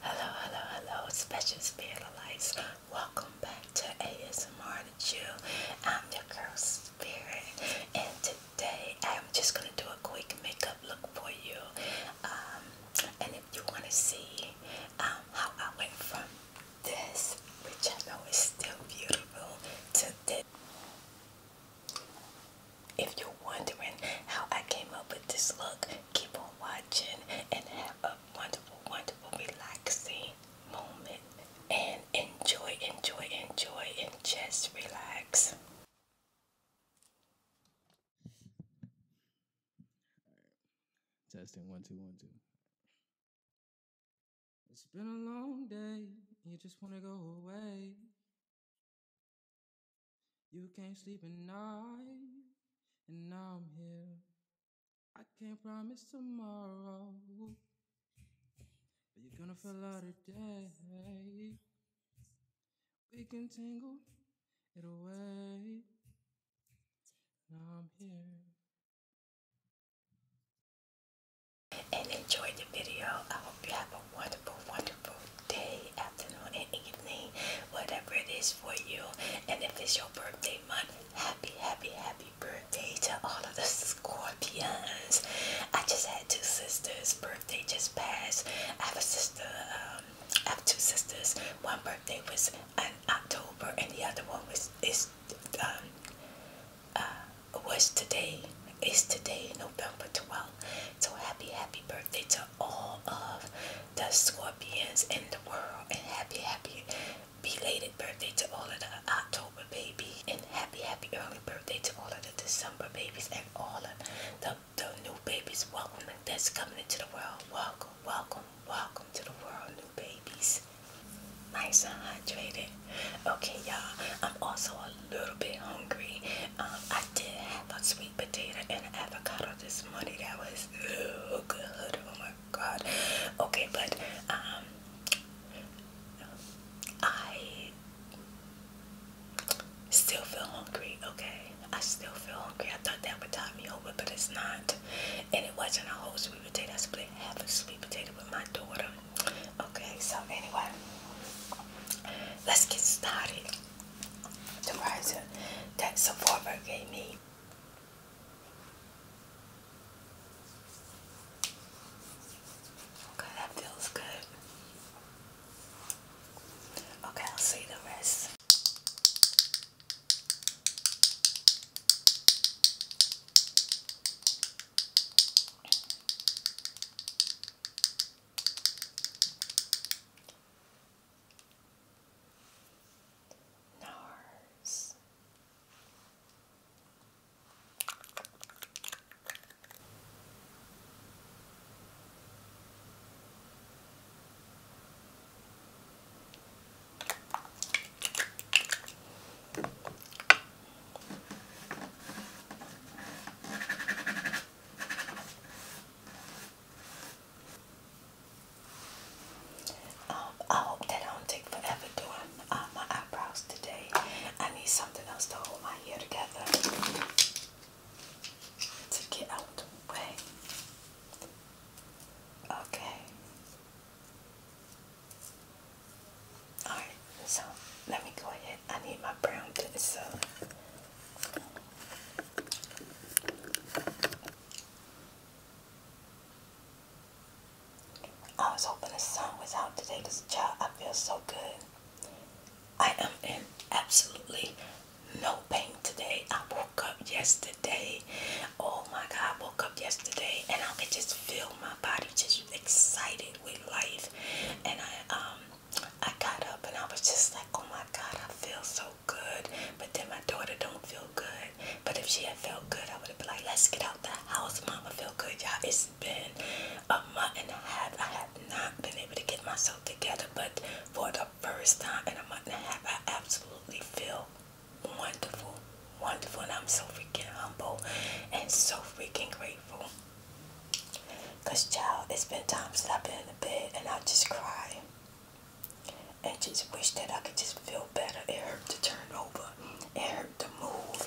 Hello, hello, hello, special spirit of lights. Welcome back to ASMR to Chew. I'm your girl spirit, and today I'm just gonna do a quick makeup look for you. Um, and if you wanna see um, how I went from this, which I know is still beautiful, to this. If you're wondering how I came up with this look, keep on watching and have a wonderful, wonderful, relaxing moment. And enjoy, enjoy, enjoy, and just relax. Testing one, two, one, two. It's been a long day, you just want to go away. You can't sleep at night, and now I'm here. I can't promise tomorrow, but you're gonna feel out today. We can tangle it away. Now I'm here. And enjoy the video. I hope you have a wonderful, wonderful day, afternoon, and evening, whatever it is for you. And if it's your birthday month, happy, happy, happy birthday to all of the Scorpions. I just had two sisters' birthday just passed. I have a sister, um, I have two sisters. One birthday was in October, and the other one was is um uh was today. Is today November 12th. So happy, happy birthday to all of the Scorpions in the world. And happy, happy belated birthday to all of the October babies. And happy, happy early birthday to all of the December babies and all of the, the new babies. Welcome that's coming into the world. Welcome, welcome, welcome to the world, new babies. Nice and hydrated. Okay, y'all. I'm also a a little bit hungry. Um, I did have a sweet potato and avocado this morning. That was oh, good. Oh my god. Okay, but um, I still feel hungry. Okay, I still feel hungry. I thought that would tide me over, but it's not. And it wasn't a whole sweet potato. I split half a sweet potato with my daughter. Okay, so anyway, let's get started the razor that Sephora gave me. Okay, that feels good. Okay, I'll see the rest. NARS. Um, I hope that don't take forever doing uh, my eyebrows today. I need something else to hold my hair together to get out the way. Okay. Alright, so let me go ahead. I need my brown pencil. I was hoping the sun was out today because child, I feel so good. I am in absolutely no pain today. I woke up yesterday. Oh my God, I woke up yesterday and I could just feel my body just excited with life. And I um I got up and I was just like, oh my God, I feel so good. But then my daughter don't feel good. But if she had felt good, I would have been like, let's get out the house. Mama feel good. Y'all, it's been a month and a half. I have not been able to get myself together. But for the first time in a month and a half, I absolutely feel wonderful. Wonderful. And I'm so freaking humble and so freaking grateful. Cause child, it's been times that I've been in the bed and I just cry and just wish that I could just feel better. It to turn over. It to move.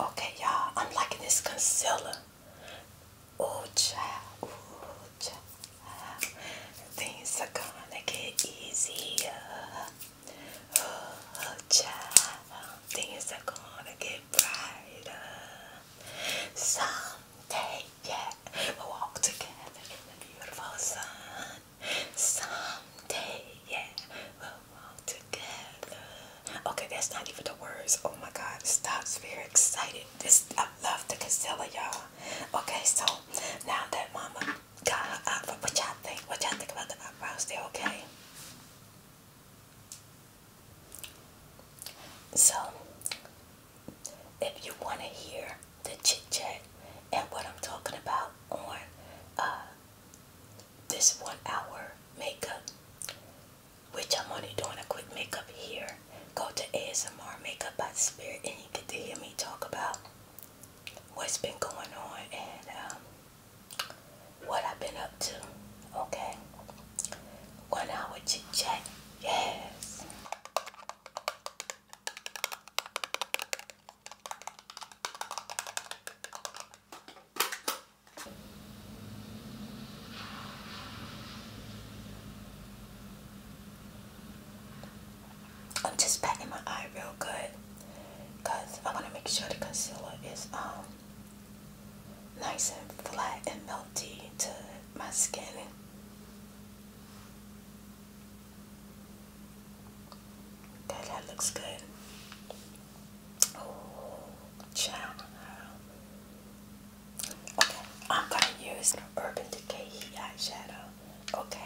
Okay, y'all, I'm liking this concealer. Oh, child, oh, child. Things are gonna get easier. Oh, child, things are gonna get brighter. Someday, yeah, we'll walk together in the beautiful sun. Someday, yeah, Okay, that's not even the words. Oh my god, stops very excited. This I love the Casella, y'all. Okay, so now that mama got her opera, what y'all think? What y'all think about the eyebrows? They okay? So if you want to hear the chit chat and what I'm talking about on uh, this one hour makeup, which I'm only doing a quick makeup here, go to ASMR Makeup by Spirit and you get to hear me talk about what's been going on and um, what I've been up to. Okay. One hour chit chat. Yes. I'm just packing my eye real good because I want to make sure the concealer is um nice and flat and melted to my skin. that looks good. Oh, okay, I'm going to use Urban Decay Eyeshadow. Okay.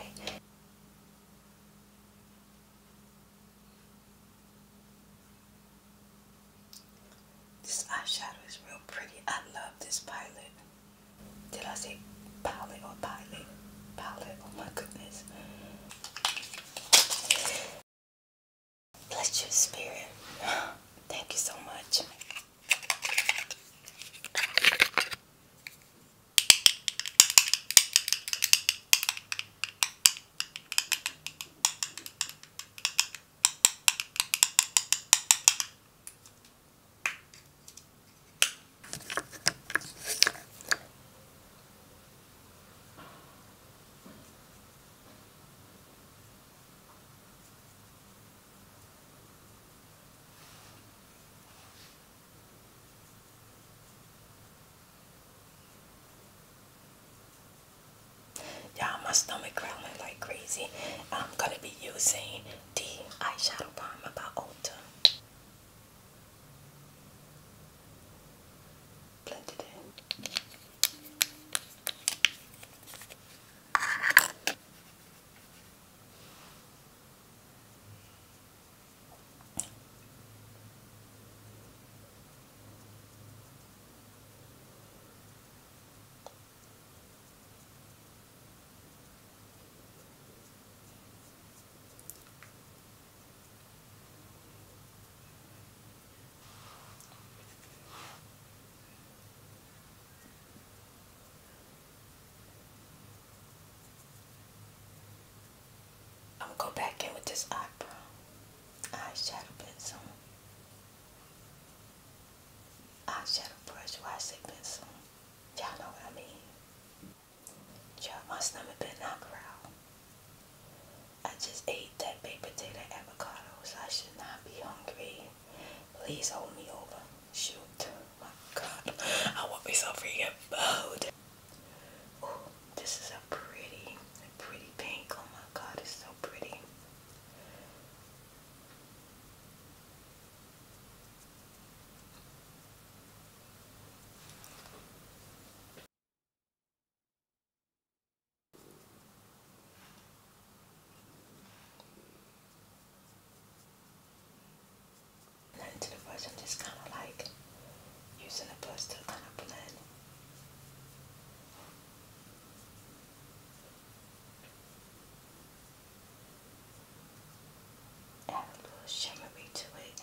This eyeshadow is real pretty. I love this palette. Did I say palette or pilot? Palette, oh my goodness. Bless you, spirit. Thank you so much. Yeah, my stomach growling like crazy. I'm gonna be using the eyeshadow bomb about Ulta blend it in. I'm gonna go back in with this eyebrow eyeshadow pencil. Eyeshadow brush, why I say pencil? Y'all know what I mean. Y'all, my stomach been knock around. I just ate that baked potato avocado, so I should not be hungry. Please hold me over. Shoot. My god. I want myself so freaking bold. Oh, this is a pretty, pretty pink. Oh my god, it's so pretty. And then the brush, I'm just kind of like using the brush to kind of blend. Add a little shimmery to it.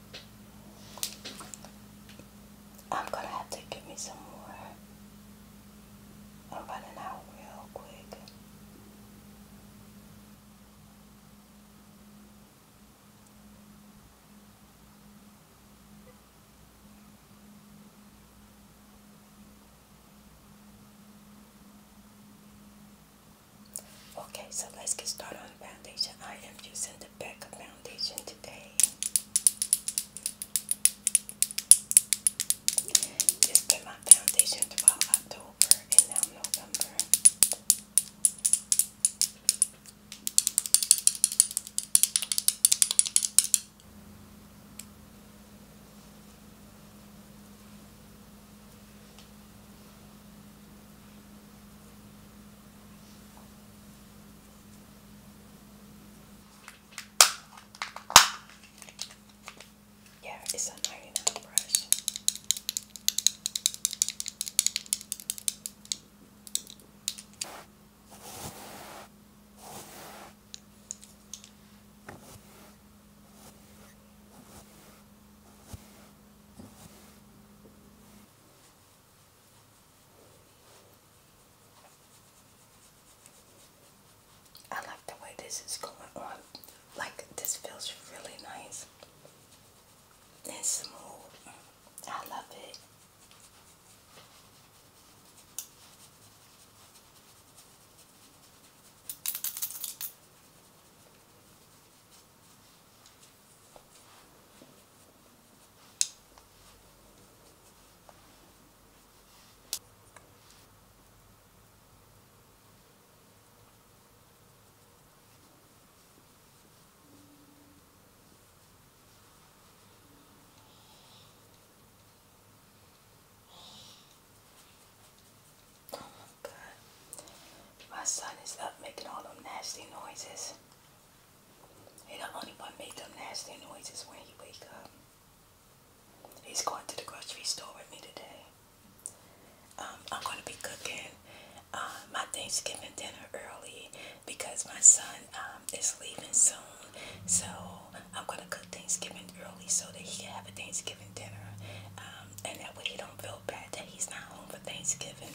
I'm gonna have to give me some more. I'm running out real quick. Okay, so let's get started on the foundation. I am using the Becca Foundation today. It's my foundation throughout October and now November. Yeah, it's a 99 brush. I like the way this is going on. Like this feels really nice and smooth. I love it. Oh my god. My son is up making all them nasty noises. He the only one make them nasty noises when he wake up. He's going to the grocery store with me today. Um, I'm going to be cooking uh, my Thanksgiving dinner early because my son um, is leaving soon. So I'm going to cook Thanksgiving early so that he can have a Thanksgiving dinner. Um, and that way he don't feel bad that he's not home for Thanksgiving.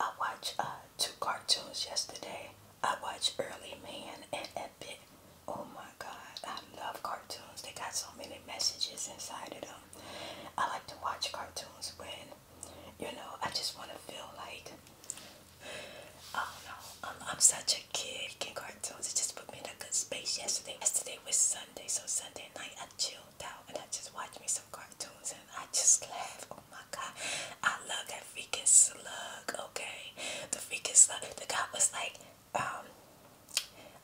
I watched uh, two cartoons yesterday. I watched Early Man and Epic. Oh my God, I love cartoons. They got so many messages inside of them. I like to watch cartoons when you know, I just want to feel like, I don't know, I'm, I'm such a kid. Kindergarten, it just put me in a good space yesterday. Yesterday was Sunday, so Sunday night I chilled out and I just watched me some cartoons and I just laughed. Oh my god, I love that freaking slug, okay? The freaking slug. The guy was like, um,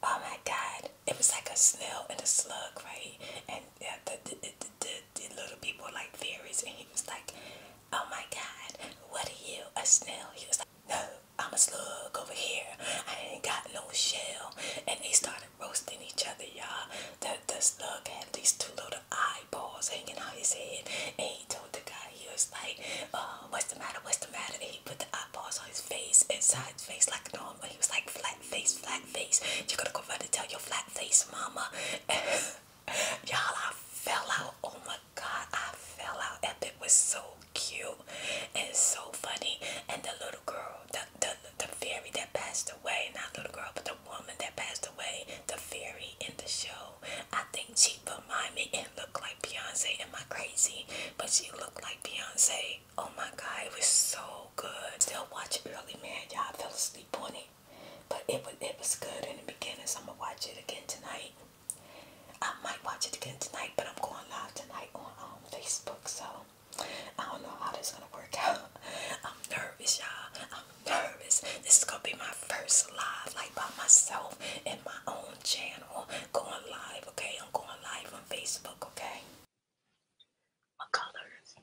oh my god, it was like a snail and a slug, right? And yeah, the, the, the, the, little people like fairies, and he was like, "Oh my God, what are you, a snail?" He was like, "No, I'm a slug over here. I ain't got no shell." And they started roasting each other, y'all. The the slug had these two little eyeballs hanging out his head, and he told the guy, he was like, uh, "What's the matter? What's the matter?" And he put the eyeballs on his face, inside his face like normal. He was like, "Flat face, flat face. you got to go run and tell your flat face mama." Y'all, I fell out. Oh my god, I fell out. And was so cute and so funny. And the little girl, the, the, the fairy that passed away, not little girl, but the woman that passed away, the fairy in the show, I think she reminded me and looked like Beyonce. Am I crazy? But she looked like Beyonce. Oh my god, it was so good. Still watching early, man. Y'all fell asleep on it but it was it was good in the beginning. So I'm gonna watch it again tonight. I might watch it again tonight, but I'm going live tonight on um, Facebook. So I don't know how this is gonna work out. I'm nervous, y'all. I'm nervous. This is gonna be my first live, like by myself in my own channel, going live. Okay, I'm going live on Facebook. Okay. What colors?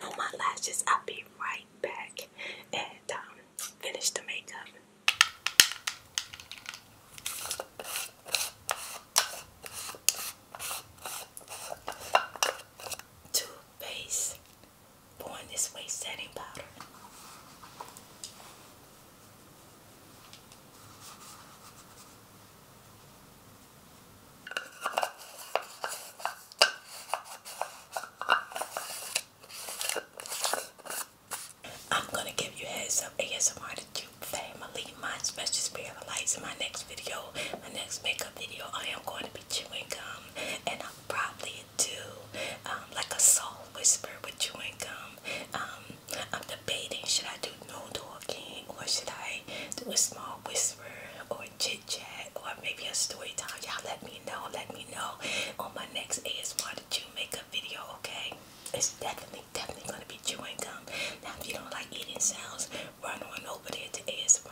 No my lashes, I'll be right back and um, finish the makeup. Toothpaste Born This Way setting powder. I'm gonna give you heads up ASMR to family. My special spirit in my next video, my next makeup video. I am going to be chewing gum and I'll probably do um, like a soul whisper with chewing gum. Um, I'm debating should I do no talking or should I do a small whisper or chit chat or maybe a story time. Y'all let me know. Let me know on my next ASMR that you make a video, okay? It's definitely, definitely gonna be chewing gum. Now, if you don't like eating sounds, run on over there to ASMR,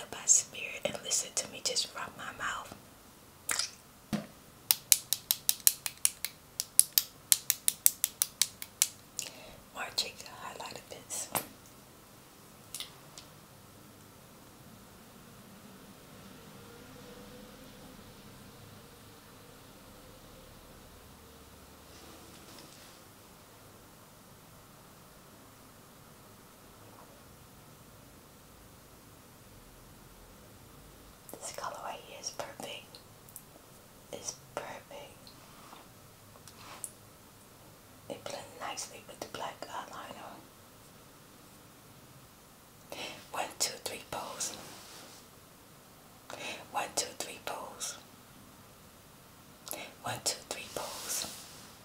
Up by Spirit, and listen to me just from my mouth. More take the highlighter pencil. This colorway is perfect. It's perfect. It blends nicely with the black eyeliner. One, two, three pose. One, two, three pose. One, two, three pose.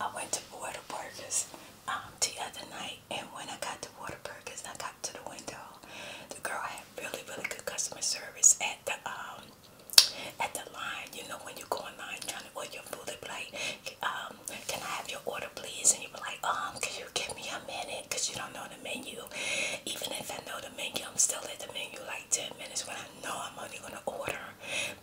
I went to Waterburgers um, the other night, and when I got to Waterburgers, I got to the window. The girl had really, really good customer service at the um, at the line, you know, when you go line trying to order your food, they be like, um, can I have your order please? And you be like, um, can you give me a minute? Because you don't know the menu. Even if I know the menu, I'm still at the menu like 10 minutes when I know I'm only going to order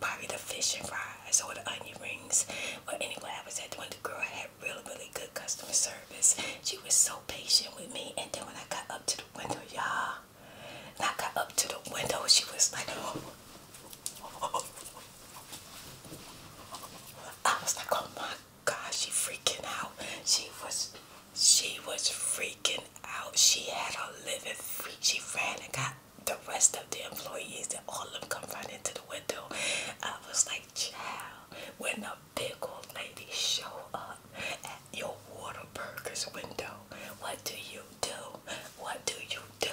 probably the fish and fries or the onion rings. But anyway, I was at the window. girl had really, really good customer service. She was so patient with me. And then when I got up to the window, y'all, and I got up to the window, she was like, oh. I was like, oh my god, she freaking out. She was she was freaking out. She had a living freak. She ran and got the rest of the employees and all of them come running to the window. I was like, child, when a big old lady show up at your water burger's window what do you do? What do you do?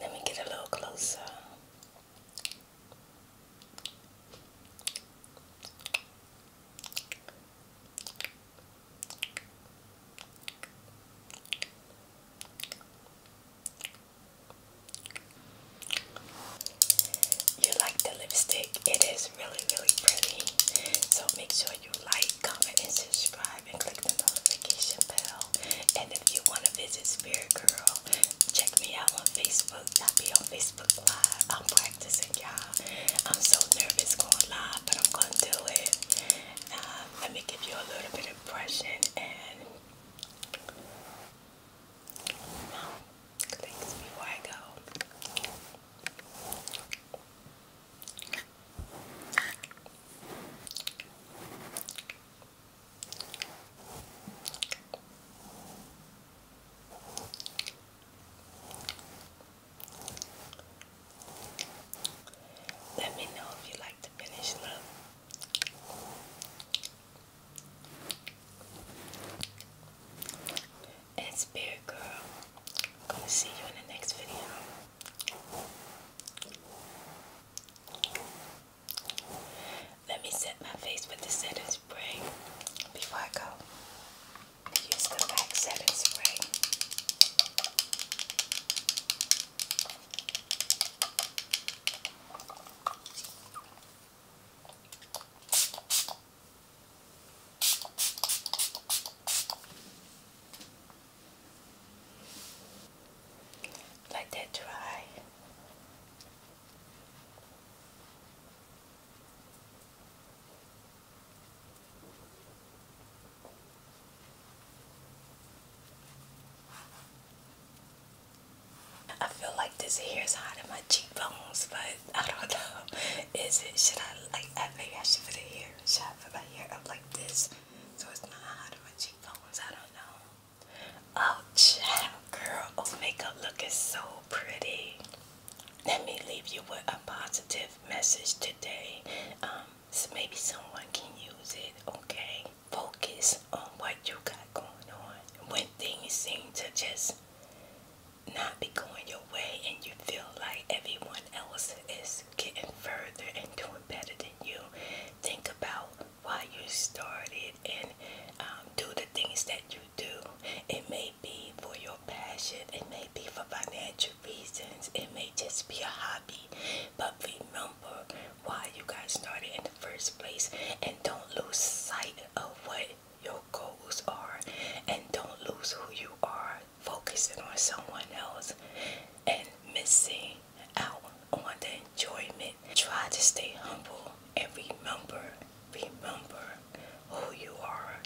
Let me get a little closer. You like the lipstick? It is really, really pretty. So make sure you like, comment, and subscribe, and click the notification bell. And if you want to visit Spirit Girl, check me out on Facebook. I'll be on Facebook Live. I'm practicing, y'all. I'm so nervous going live, but I'm going to do it. Um, let me give you a little bit of impression and. Let me know if you like to finish love. It's Spirit Girl, I'm gonna see you in the next video. Let me set my face with the setting spray before I go. Use the back setting spray. Let that dry. I feel like this hair is hot in my cheekbones, but I don't know. Is it? Should I like? I think I should put the hair. Should I put my hair up like this so it's not hot hiding my cheekbones? I don't know. Oh, child, girl, oh, makeup look is so pretty. Let me leave you with a positive message today. Um, so maybe someone can use it. Okay, focus on what you got going on when things seem to just not be going your way and you feel like everyone else is getting further and doing better than you, think about why you started and um, do the things that you do. It may be for your passion, it may be for financial reasons, it may just be a hobby, but remember why you guys started in the first place and don't lose sight of what your goals are and don't lose who you are focusing on someone else and missing out on the enjoyment. Try to stay humble and remember, remember who you are.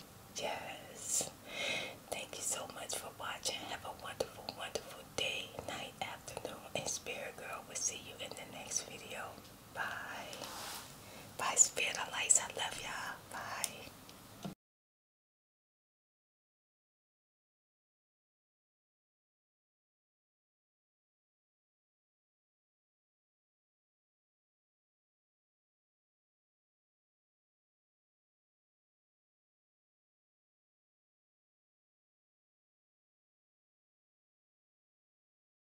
Yes. Thank you so much for watching. Have a wonderful, wonderful day, night, afternoon, and Spirit Girl will see you in the next video. Bye. Bye, Spirit of I love y'all. Bye.